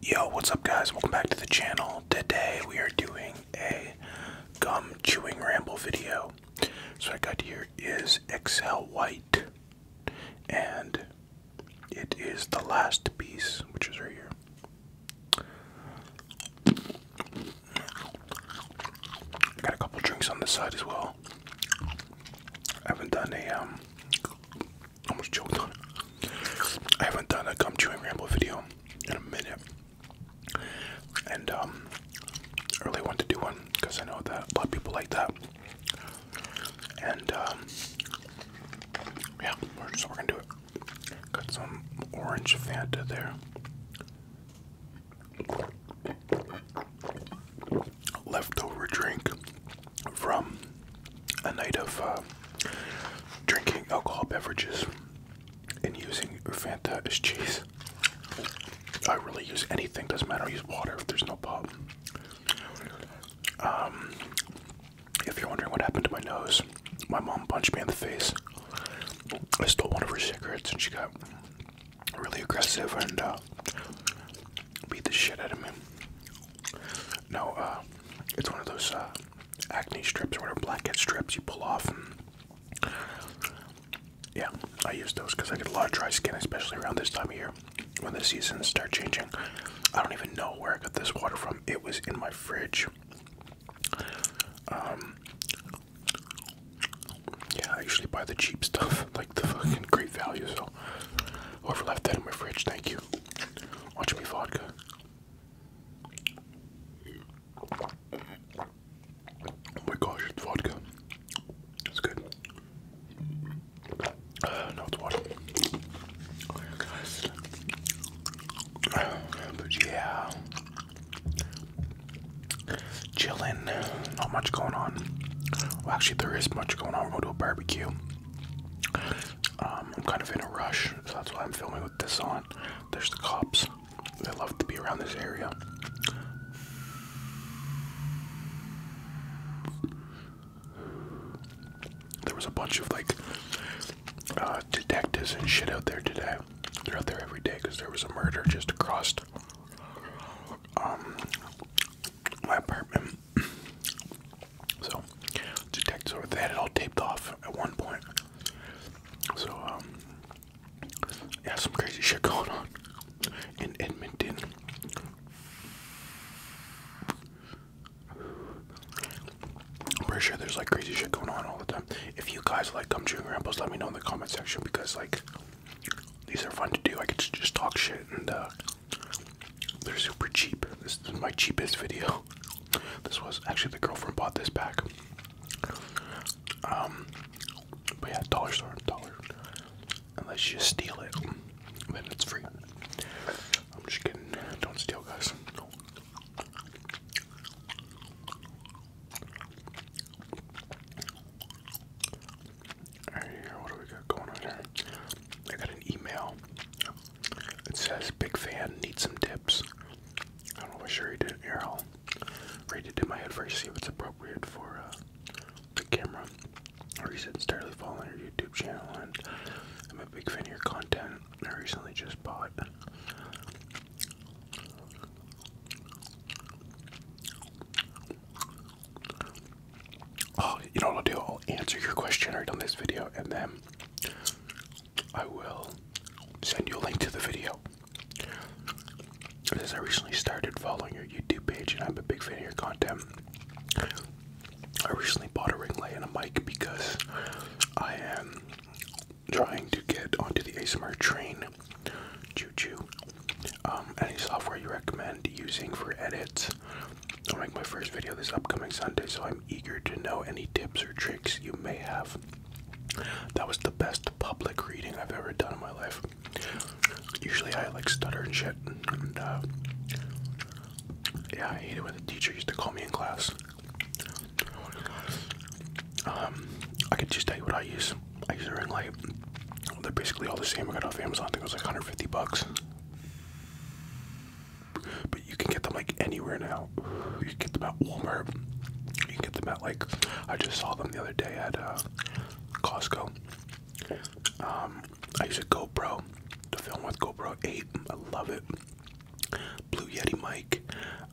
Yo, what's up guys? Welcome back to the channel. Today we are doing a gum chewing ramble video. So I got here is Excel White and it is the last piece, which is right here. Got a couple drinks on the side as well. I haven't done a um, I'm just joking. I haven't done a gum chewing ramble video in a minute. And um I really want to do one because I know that a lot of people like that. And um yeah, so we're gonna do it. Got some orange Fanta there. Leftover drink from a night of uh, drinking alcohol beverages and using Fanta as cheese. I really use anything, doesn't matter, I use water if there's no problem. Um, if you're wondering what happened to my nose, my mom punched me in the face. I stole one of her cigarettes and she got really aggressive and uh, beat the shit out of me. No, uh, it's one of those uh, acne strips or whatever, blackhead strips you pull off. Yeah, I use those because I get a lot of dry skin, especially around this time of year when the seasons start changing. I don't even know where I got this water from. It was in my fridge. Um, yeah, I usually buy the cheap stuff, like the fucking great value. So, whoever left that in my fridge, thank you. Watch me vodka. Oh my gosh, it's vodka. It's good. Uh, no, it's water. Uh, but yeah, chilling. Not much going on. Well, actually, there is much going on. We're going to a barbecue. Um, I'm kind of in a rush, so that's why I'm filming with this on. There's the cops. They love to be around this area. There was a bunch of like uh, detectives and shit out there today. They're out there every day because there was a murder just across um, my apartment so detect sort had it all taped off at one point. So um, yeah, some crazy shit going on in Edmonton. I'm pretty sure there's like crazy shit going on all the time. If you guys like gum chewing rambles, let me know in the comment section because like these are fun to do. I could just talk shit and uh they're super cheap. This is my cheapest video. This was actually the girlfriend bought this back. Um, but yeah, dollar store, dollar. Unless you steal it, then it's free. just Don't steal, guys. what do we got going on here? I got an email. It says, big fan, need some tips. I am not sure he did. Here, I'll read it in my head first, see if it's appropriate for uh, the camera. I recently started following your YouTube channel, and I'm a big fan of your content. I recently just bought Oh, you know what I'll do? I'll answer your question right on this video, and then I will send you a link to the video. Because I recently started following your YouTube page, and I'm a big fan of your content. I recently bought a ring light and a mic because I am trying to get onto the ASMR train. Choo um, any software you recommend using for edits? I'll make my first video this upcoming Sunday, so I'm eager to know any tips or tricks you may have. That was the best public reading I've ever done in my life. Usually I like stutter and shit, and uh, yeah, I hate it when the teacher used to call me in class. Um, I could just tell you what I use. I use a ring light. They're basically all the same. I got off Amazon. I think it was like 150 bucks but you can get them like anywhere now. You can get them at Walmart. You can get them at like I just saw them the other day at uh, Costco. Um, I use a GoPro to film with GoPro 8. I love it. Blue Yeti mic.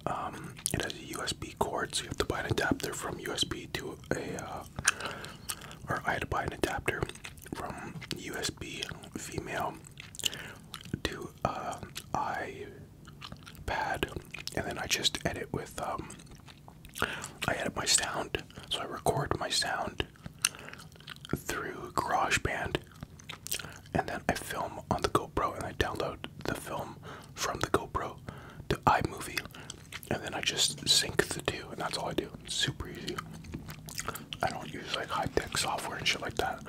Um, it has a USB cord, so you have to buy an adapter from USB to a. Uh, or I had to buy an adapter from USB female to uh, iPad, and then I just edit with um, I edit my sound, so I record my sound through GarageBand, and then I film on the GoPro, and I download the film from the GoPro to iMovie, and then I just sync the two, and that's all I do super easy. I don't use like high tech software and shit like that.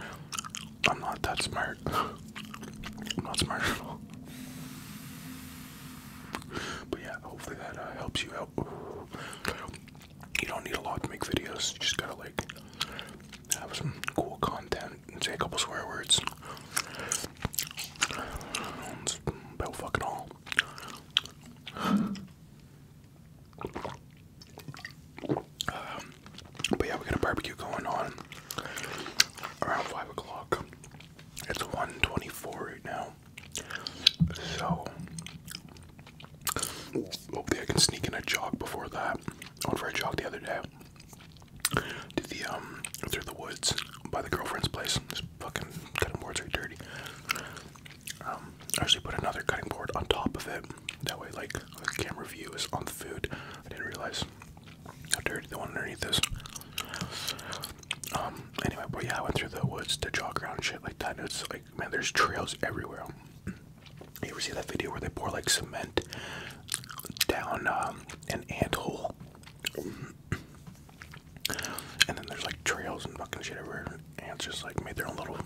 I'm not that smart. I'm not smart at But yeah, hopefully that uh, helps you out. You don't need a lot to make videos. You just gotta like have some cool content and say a couple swear words. That's about fucking all. Um, but yeah, we got a barbecue going on around five o'clock. It's 124 right now. So hopefully I can sneak in a jog before that. I went for a jog the other day. To the um through the woods by the girlfriend's place. This fucking cutting boards are dirty. Um, I actually put another cutting board on top of it. That way, like the camera view is on the food. I didn't realize how dirty the one underneath is. Um, anyway, boy, yeah, I went through the woods to jog around shit like that. And it's like, man, there's trails everywhere. You ever see that video where they pour like cement down um, an ant hole? And then there's like trails and fucking shit everywhere ants just like made their own little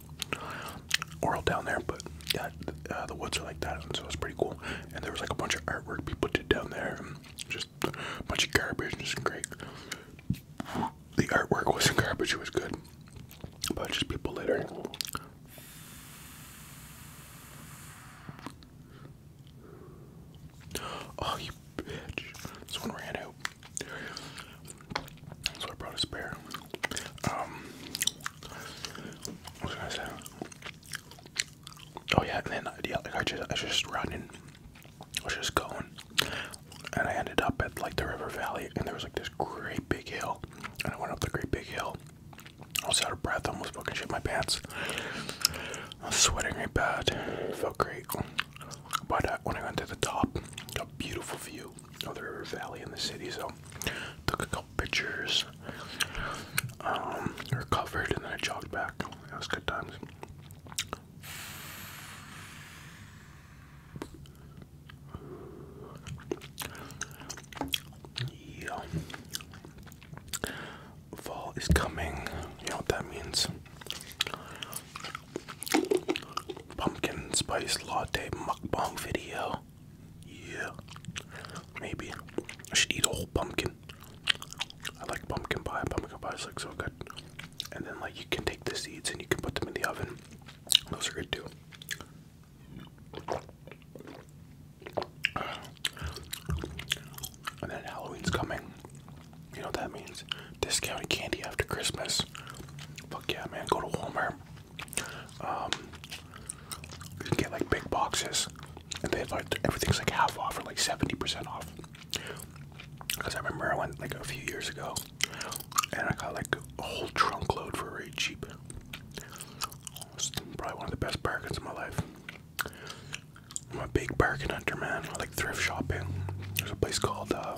world down there. But yeah, uh, the woods are like that, and so it's pretty cool. And there was like a bunch of artwork people did down there, and just a bunch of garbage, and just great. The artwork wasn't garbage; it was good, but just people littering. Oh, you bitch! This one ran out. So I brought a spare. Um, what was I saying? Oh yeah, and then yeah, like I just I was just running, I was just going, and I ended up at like the river valley, and there was like this great big hill, and I went up the great big hill. I was out of breath, almost fucking shit my pants. I was sweating really bad. felt great. But uh, when I got to the top, got a beautiful view of the river valley and the city. So took a couple pictures. Um, covered, and then I jogged back. It was good times. Fall is coming. You know what that means? pumpkin spice latte mukbang video. Yeah, maybe I should eat a whole pumpkin. I like pumpkin pie. Pumpkin pie is like so good. And then like you can take the seeds and you can put them in the oven. Those are good too. And then Halloween's coming. You know what that means? discounted candy after Christmas. Fuck yeah, man, go to Walmart. Um, you can get like big boxes, and they have like everything's like half off or like 70% off. Because I remember I went like a few years ago and I got like a whole trunk load for very cheap. probably one of the best bargains of my life. I'm a big bargain hunter, man. I like thrift shopping. There's a place called uh,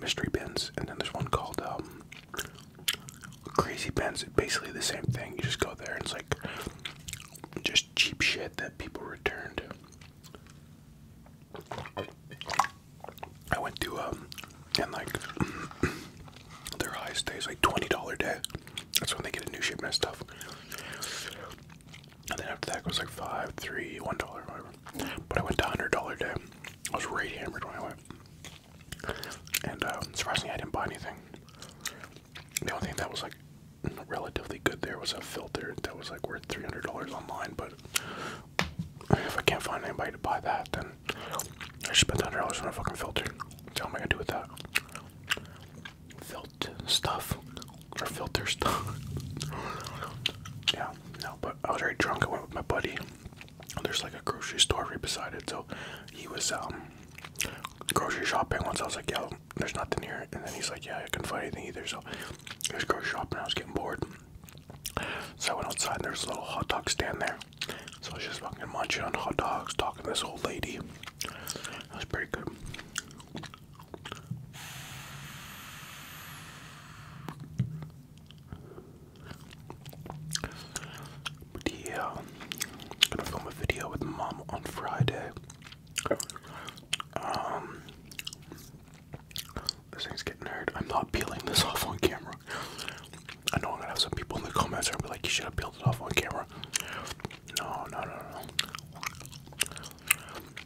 Mystery bins, and then there's one called um, Crazy Bins. It's Basically the same thing. You just go there, and it's like just cheap shit that people returned. I went to um, and like their highest day is like twenty dollar day. That's when they get a new shipment of stuff. And then after that it was like five, three, one dollar, whatever. But I went to hundred dollar day. I was right hammered when I went. And uh, surprisingly, I didn't buy anything. The only thing that was like relatively good there was a filter that was like worth three hundred dollars online. But if I can't find anybody to buy that, then I spent hundred dollars on a fucking filter. What am I gonna do with that? filter stuff or filter stuff. yeah, no, but I was very drunk. I went with my buddy. There's like a grocery store right beside it, so he was um grocery shopping once. I was like, "Yo, there's nothing here," and then he's like, "Yeah, I couldn't find anything either." So I was grocery shopping. I was getting bored, so I went outside. and There's a little hot dog stand there, so I was just fucking munching on hot dogs, talking to this old lady. That's pretty good. But gonna film a video with mom on Friday. Um, this thing's getting hard. I'm not peeling this off on camera. I know I'm gonna have some people in the comments be like, you should have peeled it off on camera. No, no, no, no.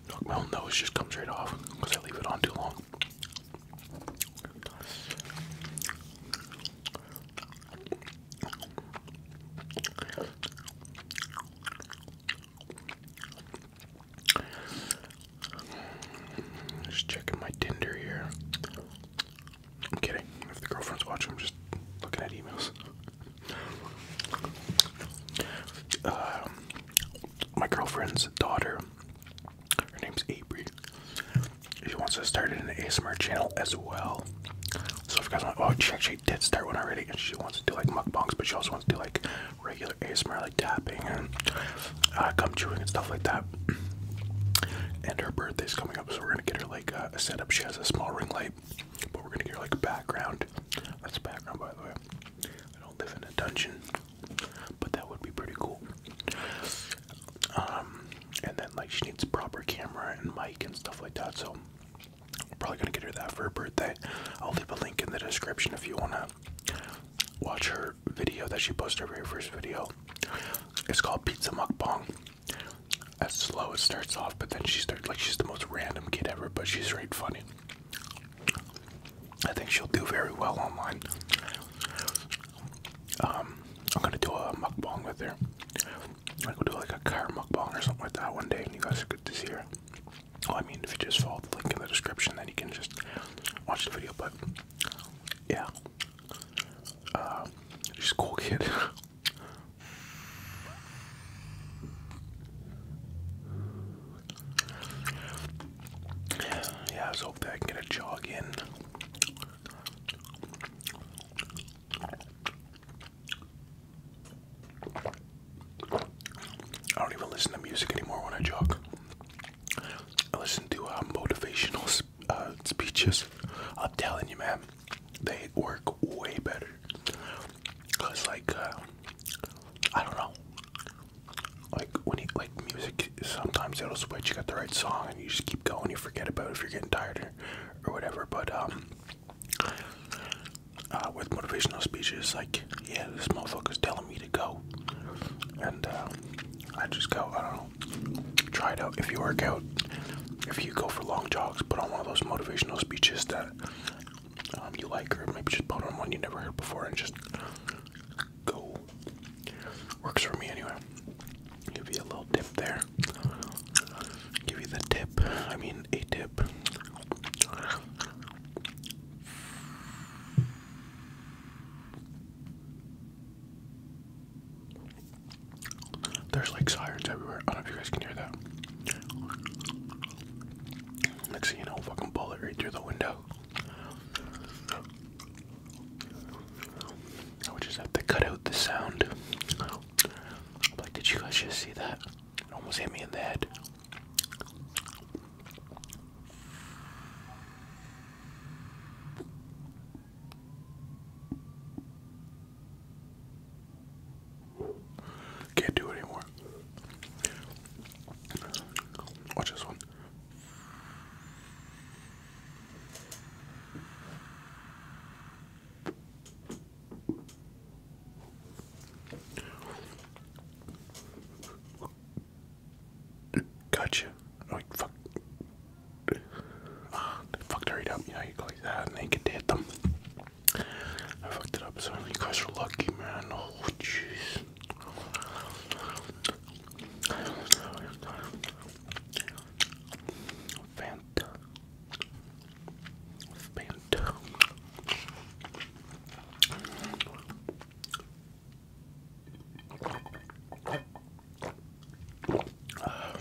Look, my whole nose just comes right off because I leave it on too long. Just checking my Tinder here. I'm kidding. If the girlfriend's watching, I'm just looking at emails. Um, my girlfriend's daughter, her name's Avery. She wants to start an ASMR channel as well. So if you guys want, oh, she actually did start one already, and she wants to do like mukbangs, but she also wants to do like regular ASMR, like tapping and uh, gum chewing and stuff like that. And her birthday's coming up, so we're gonna get her like uh, a setup. She has a small ring light light, but we're gonna get like background. That's background, by the way. I don't live in a dungeon, but that would be pretty cool. Um, and then like she needs proper camera and mic and stuff like that. So we're probably gonna get her that for her birthday. I'll leave a link in the description if you wanna watch her video that she posted her first video. It's called Pizza Mukbang. As slow. It starts off, but then she starts like she's the most random kid ever, but she's really funny. I think she'll do very well online. Um, I'm gonna do a mukbang with her. I am gonna do like a car mukbang or something like that one day, and you guys could to see her. I mean, if you just follow the link in the description, then you can just watch the video. But yeah, uh, she's a cool kid. Yeah, I was hoping I could get a jog in. I don't even listen to music anymore when I jog. I listen to uh, motivational uh, speeches. I'm telling you, man, they work way better. Cause like uh, I don't know, like when you like music, sometimes it'll switch. You got the right song, and you just keep going. You forget about it if you're getting tired or, or whatever. But um, uh, with motivational speeches, like yeah, this motherfucker's telling me to go, and uh, I just go. I don't know. Try it out. If you work out, if you go for long jogs, put on one of those motivational speeches that um, you like her? maybe just put on one you never heard before and just go. Works for me anyway. Give you a little dip there. Give you the tip. I mean a tip. There's like sirens everywhere. I don't know if you guys can hear that. Let's see, you know, fucking bullet right through the window. I would just have to cut out the sound. like, did you guys just see that? almost hit me in the head. Can't do it anymore. Watch this one. Gotcha. Oh, fuck. Ah, fuck, hurried up. You know, you go like that and them. I fucked it up, so you guys are lucky, man. Oh, jeez. Fanta. Fanta. Ah,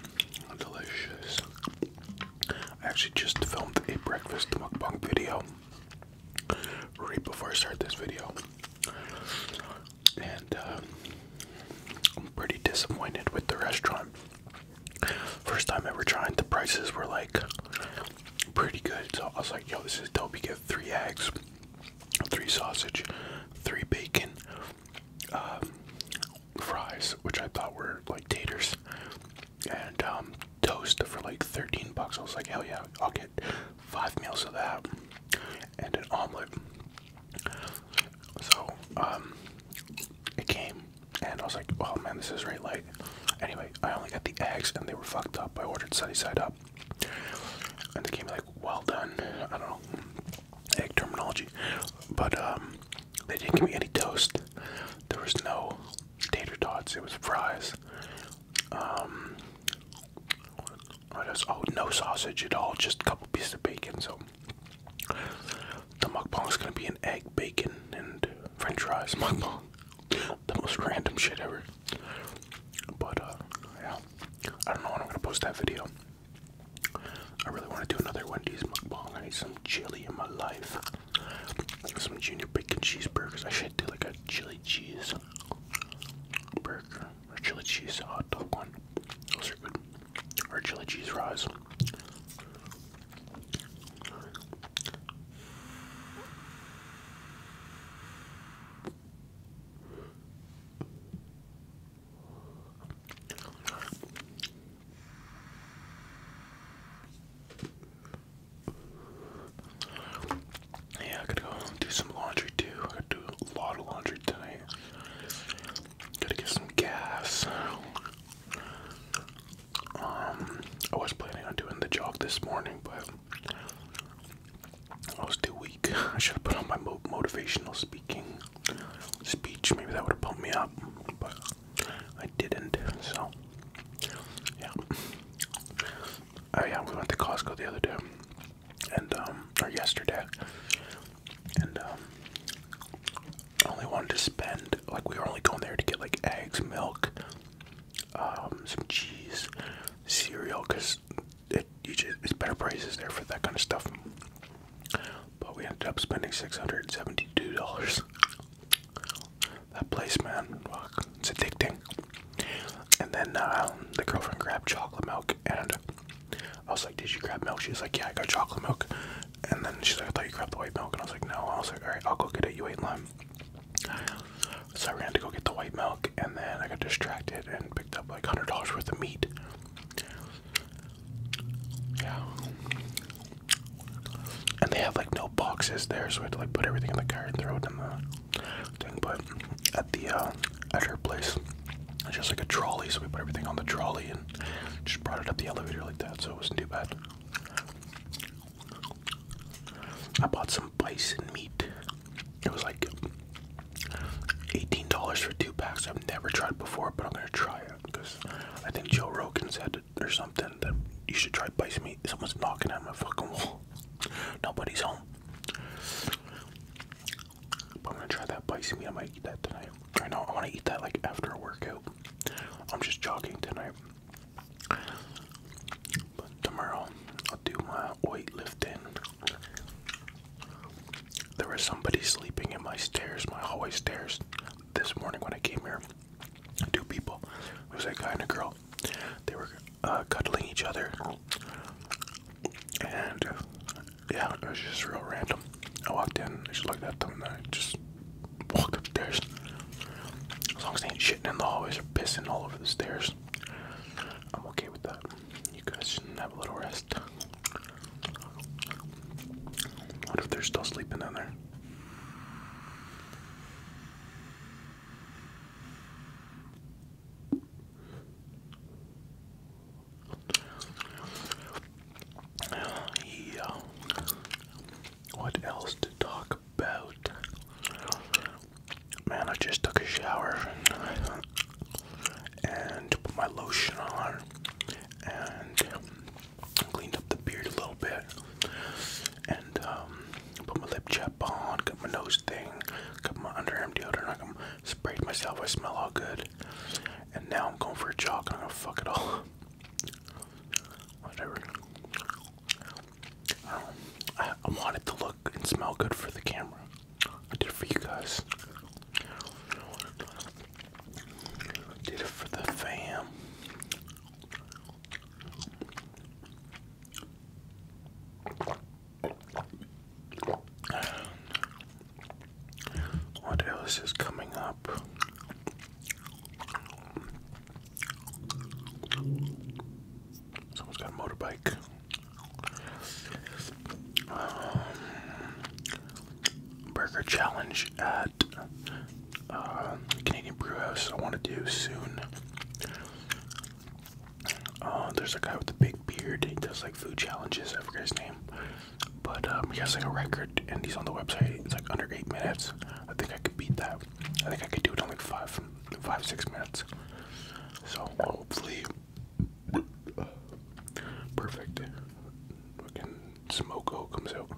delicious. I actually just filmed a breakfast mukbang video right before I start this video, and uh, I'm pretty disappointed with the restaurant. First time ever trying, the prices were like pretty good, so I was like, "Yo, this is dope." You get three eggs, three sausage, three bacon, um, fries, which I thought were like taters, and um, toast for like 13 bucks. I was like, hell yeah, I'll get five meals of that and an omelet. So um, it came, and I was like, oh man, this is really light. Anyway, I only got the eggs, and they were fucked up. I ordered sunny side up, and they came like well done. I don't know egg terminology, but um, they didn't give me any toast. There was no tater tots. It was fries. Um, oh, no sausage at all. Just a couple pieces of bacon. So the is gonna be an egg, bacon, and French fries mukbang. the most random shit ever. But uh, yeah, I don't know when I'm gonna post that video. I really want to do another Wendy's mukbang. I need some chili in my life. Some junior bacon cheeseburgers. I should do like a chili cheese burger or chili cheese hot dog one. Those are good. Or chili cheese fries. Yeah, I gotta go do some laundry too. I gotta do a lot of laundry tonight. Gotta get some gas. Um, I was planning on doing the jog this morning, but I was too weak. I should have put on my motivational speaking speech. Maybe that would have pumped me up. But I didn't, so yeah. Oh yeah, we went to Costco the other day, and um, or yesterday, and um, I only wanted to spend like we were only going there to get like eggs, milk, um, some cheese, cereal, cause it you just it's better prices there for that kind of stuff. But we ended up spending six hundred and seventy-two dollars. That place, man, it's addicting. And then um, the girlfriend grabbed chocolate milk, and I was like, "Did you grab milk?" She was like, "Yeah, I got chocolate milk." And then she's like, "I thought you grabbed the white milk," and I was like, "No." I was like, "All right, I'll go get it. You ate lime." So I ran to go get the white milk, and then I got distracted and picked up like hundred dollars worth of meat. Yeah, and they have like no boxes there, so I had to like put everything in the car and throw it in the thing. But at the uh, at her place, it's just like a trolley, so we put everything on the trolley and just brought it up the elevator like that, so it wasn't too bad. I bought some bison meat. It was like $18 for two packs. I've never tried before, but I'm gonna try it because I think Joe Rogan said sound or something that you should try biting me. Someone's knocking at my fucking wall. Nobody's home. But I'm gonna try that biting me. I might eat that tonight. I know I want to eat that like after a workout. I'm just jogging tonight. But tomorrow I'll do my weightlifting. There was somebody sleeping in my stairs, my hallway stairs, this morning when I came here two people. It was that guy and a girl. They were uh, cuddling each other, and uh, yeah, it was just real random. I walked in, I just looked at them, and I just walked up stairs. As long as they ain't shitting in the hallways or pissing all over the stairs, I'm okay with that. You guys can have a little rest. What if they're still sleeping in there? Yeah. What else to talk about? Man, I just took a shower and put my lotion on and Cleaned up the beard a little bit, and um, put my lip chap on. Got my nose thing. Got my underarm deodorant. I can sprayed myself. I smell all good. And now I'm going for a jog. I'm gonna fuck it all. Whatever. I, wanted to look and smell good for the camera. I did for you guys. Did it for the fam. What else is coming up? Someone's got a motorbike. Um, burger challenge at uh, Canadian Brew House. I want to do soon. Uh, there's a guy with a big beard. He does like food challenges. I forget his name, but um, he has like a record, and he's on the website. It's like under eight minutes. I think I could beat that. I think I could do it in like five, five six minutes. So hopefully, perfect. Fucking smoke comes out.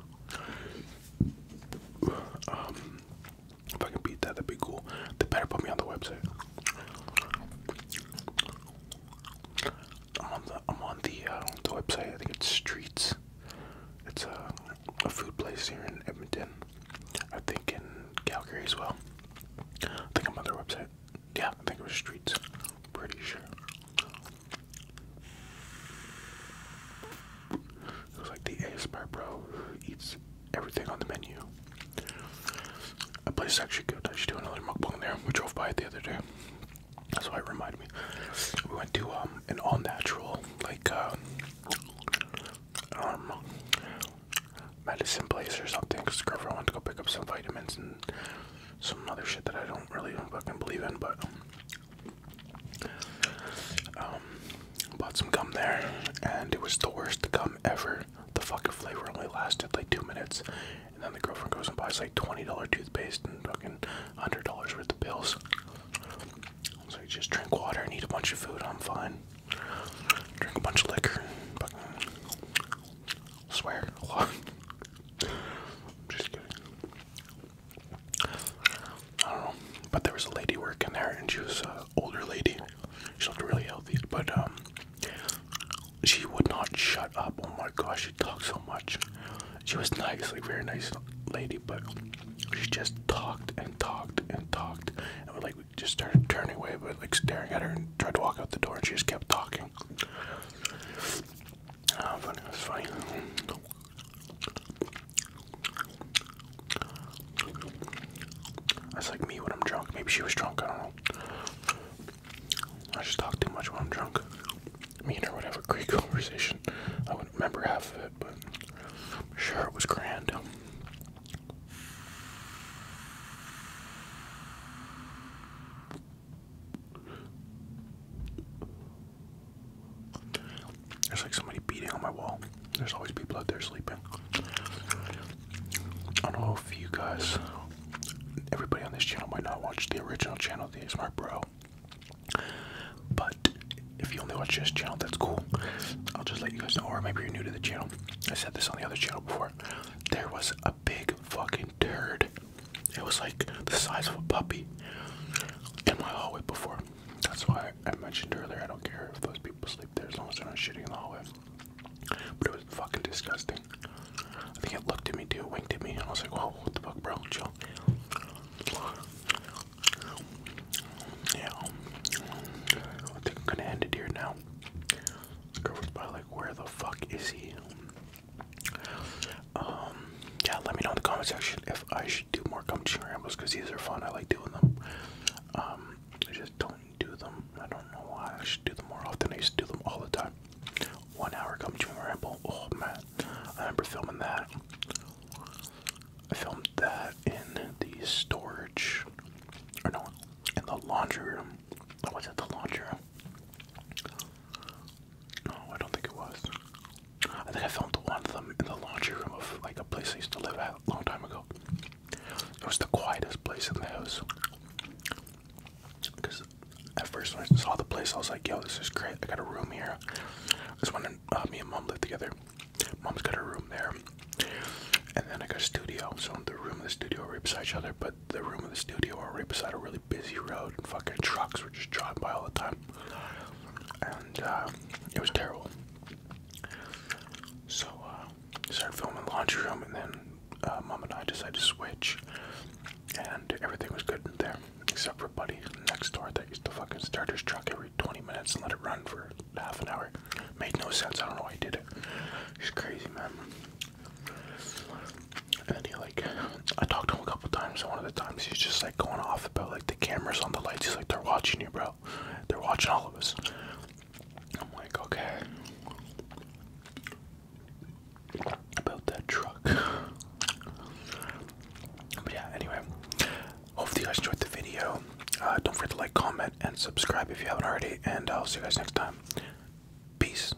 Um, if I can beat that, that'd be cool. They better put me on the website. I'm on the I'm on the, uh, the website. I think it's Streets. It's a uh, a food place here in Edmonton. I think in Calgary as well. I think I'm on their website. Yeah, I think it was Streets. Pretty sure. It was like the ASMR bro eats everything on the menu. A place actually good. I should do another mukbang there. We drove by it the other day. That's why it reminded me. We went to um, an all natural like uh, um medicine place or something because I wanted to go pick up some vitamins and some other shit that I don't really fucking believe in, but um, bought some gum there, and it was the worst gum ever. The fucking flavor only lasted like two minutes, and then the girlfriend goes and buys like twenty dollar toothpaste and fucking hundred dollars worth of pills. So you just drink water and eat a bunch of food. I'm fine. Drink a bunch of liquor. fucking swear a lot. just kidding. I don't know, but there was a lady working there, and she was an older lady. She looked really healthy, but um, she would not shut up. Oh my gosh, she talked so much. She was nice, like very nice lady, but she just talked and talked and talked, and we like we just started turning away, but like staring at her and tried to walk out the door, and she just kept talking. Ah, funny, it was funny. That's like me when I'm drunk. Maybe she was drunk, I don't know. I just talk too much when I'm drunk. Me and her would have a great conversation. I wouldn't remember half of it, but I'm sure it was grand. There's like somebody beating on my wall. There's always people out there sleeping. I don't know if you guys, everybody on this channel might not watch the original channel, the Smart Bro. But if you only watch this channel, that's cool. I'll just let you guys know, or maybe you're new to the channel. I said this on the other channel before. There was a big fucking turd it was like the size of a puppy in my hallway before. That's why I mentioned earlier I don't care if those people sleep there as long as they're not shooting in the hallway. But it was fucking disgusting. I think it looked at me too, winked at me, and I was like, whoa, what the fuck, bro? Chill. Yeah. I think I'm gonna end it here now. where the fuck is he? Um, yeah, let me know in the comments section if I should do more gum rambles because these are fun. I like doing them. Um, I just don't do them. I don't know why. I should do them more often. I used to do them all the time. One hour gum chewing ramble. Oh man, I remember filming that. I filmed that in the storage, or no, in the laundry room. What was it? The laundry room. Oh, I don't think it was. I think I filmed one of them in the laundry room of like a place I used to live at a long time ago. It was the quietest place in the house. Because at first when I saw the place, I was like, yo, this is great. I got a room here. I just wanted uh, me and mom lived together, mom's got her room there. And then I got a studio. So the room and the studio are right beside each other, but the room and the studio are right beside a really busy road and fucking trucks were just driving by all the time. And uh, it was terrible. So uh, started filming the laundry room and then uh, mom and I decided to switch. And everything was good in there, except for Buddy next door that used to fucking start his truck every 20 minutes and let it run for half an hour. Made no sense. I don't know why he did it. He's crazy, man. And then he like, I talked to him a couple times, one of the times he's just like going off about like the cameras on the lights. He's like, they're watching you, bro. They're watching all of us. I'm like, okay. About that truck. But yeah, anyway. Hopefully you guys enjoyed the video. Uh, don't forget to like, comment, and subscribe if you haven't already. And I'll see you guys next time. Peace.